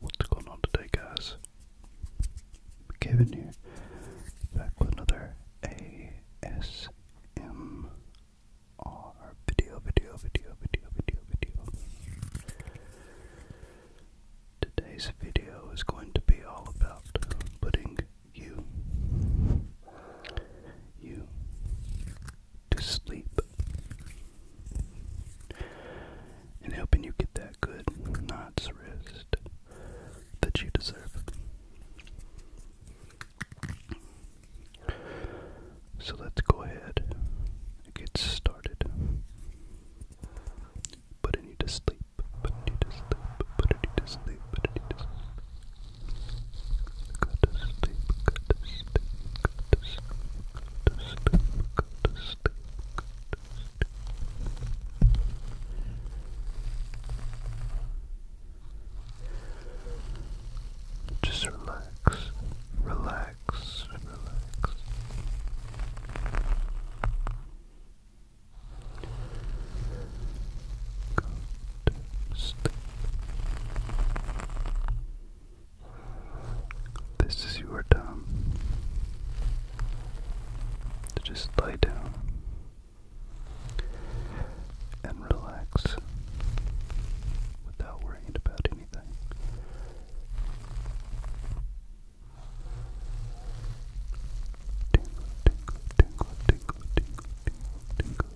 What's going on today, guys? I'm back with another ASMR video, video, video, video, video, video. Today's video is going to be all about putting you, you, to sleep. And helping you get that good night's rest that you deserve. So let's go ahead and get started. But I to sleep, but I to sleep, but I to sleep, but I to sleep. Go to sleep, go to sleep, go to sleep, go to sleep, go to sleep, go to sleep. Just relax, relax, relax. Go, this is your time to just lie down and relax without worrying about anything. Tingle, tingle, tingle, tingle, tingle, tingle, tingle,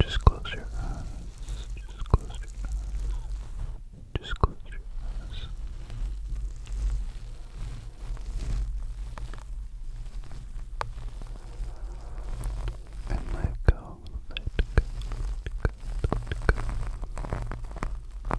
Just close your eyes. Just close your eyes. Just close your eyes. And let go, let go, let go, let go.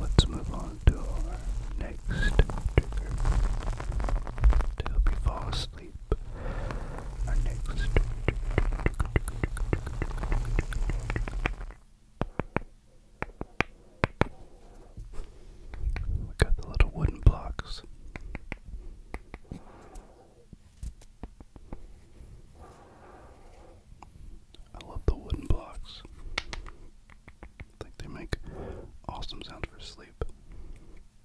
Let's move on to our next trigger to help fall asleep. We got the little wooden blocks. I love the wooden blocks. I think they make awesome sounds for sleep.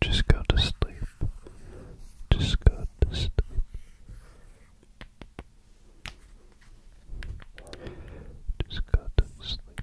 Just go to sleep. Just go to sleep. Just go to sleep.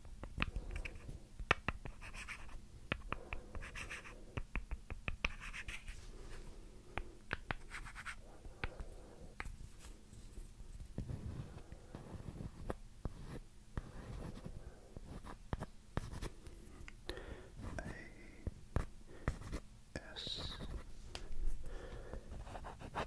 A S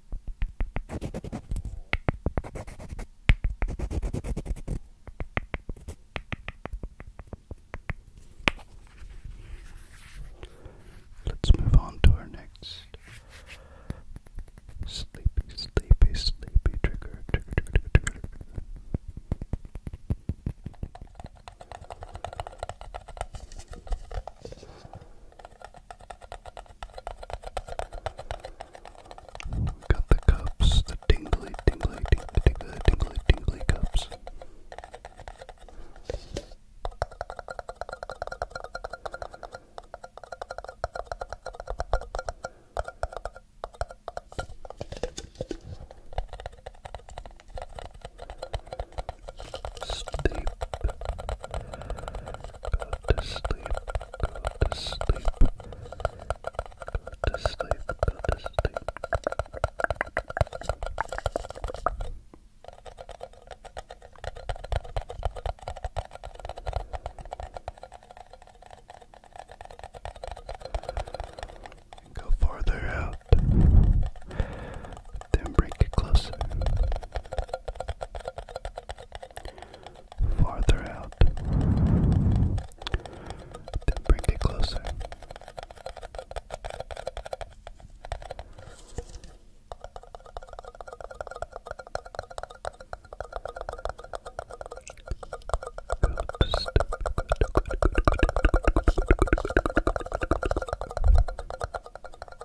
Let's move on to our next sleepy, sleepy, sleepy trigger. We've got the cups, the tingly, tingly, tingly, tingly, tingly, tingly cups. Sleep. Go to sleep, go to sleep, go to sleep, go to sleep. And go farther out, then break it closer farther out, then bring it closer. Good step. Good, good, good, good, good, good, good, good, good, good, good, good.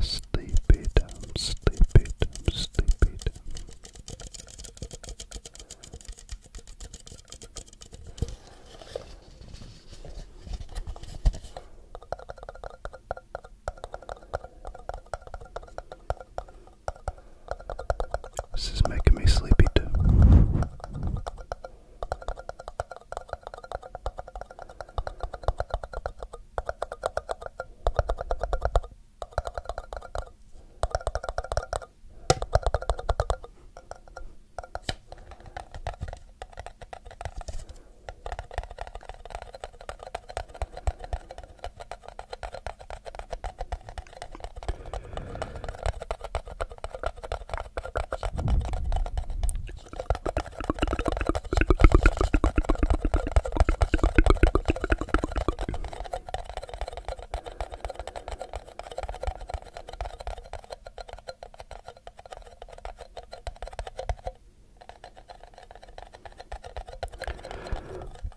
Sleepy dumb, sleepy dumb, sleepy this is making me sleepy too.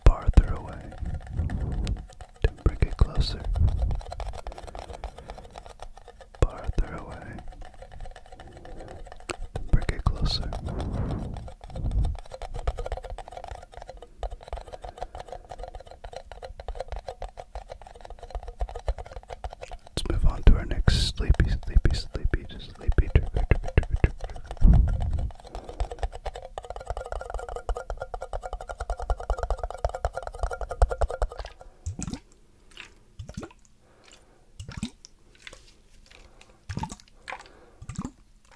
Farther away bring it closer, farther away, bring it closer. Let's move on to our next sleepy, sleepy, sleepy, sleepy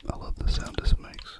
I love the sound this makes.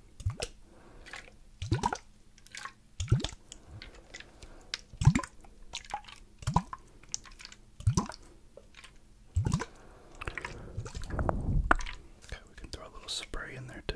Okay, we can throw a little spray in there too.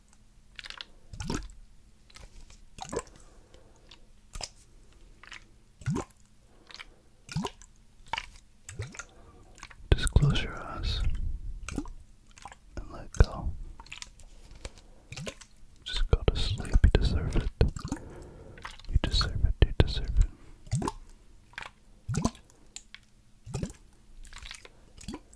Just close your eyes and let go. Just go to sleep. You deserve it. You deserve it. You deserve it.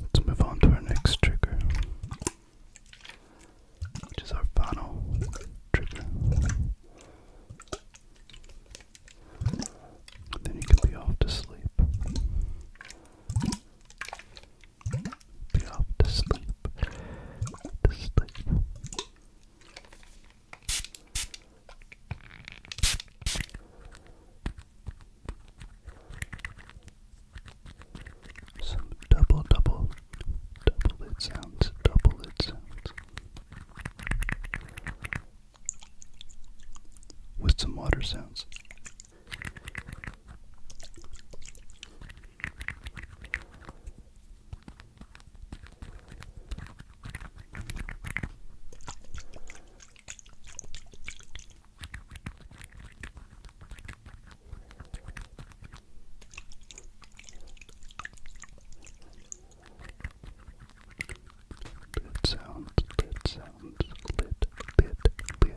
Let's move on to our next trigger, which is our final trigger. then you can be off to sleep be off to sleep. To sleep. Some double, double, double it sounds, double it sounds. With some water sounds. Bit sounds, bit sounds, bit, bit, bit,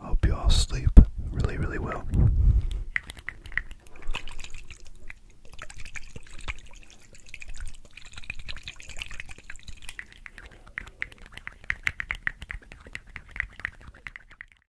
I Hope you all sleep really, really well.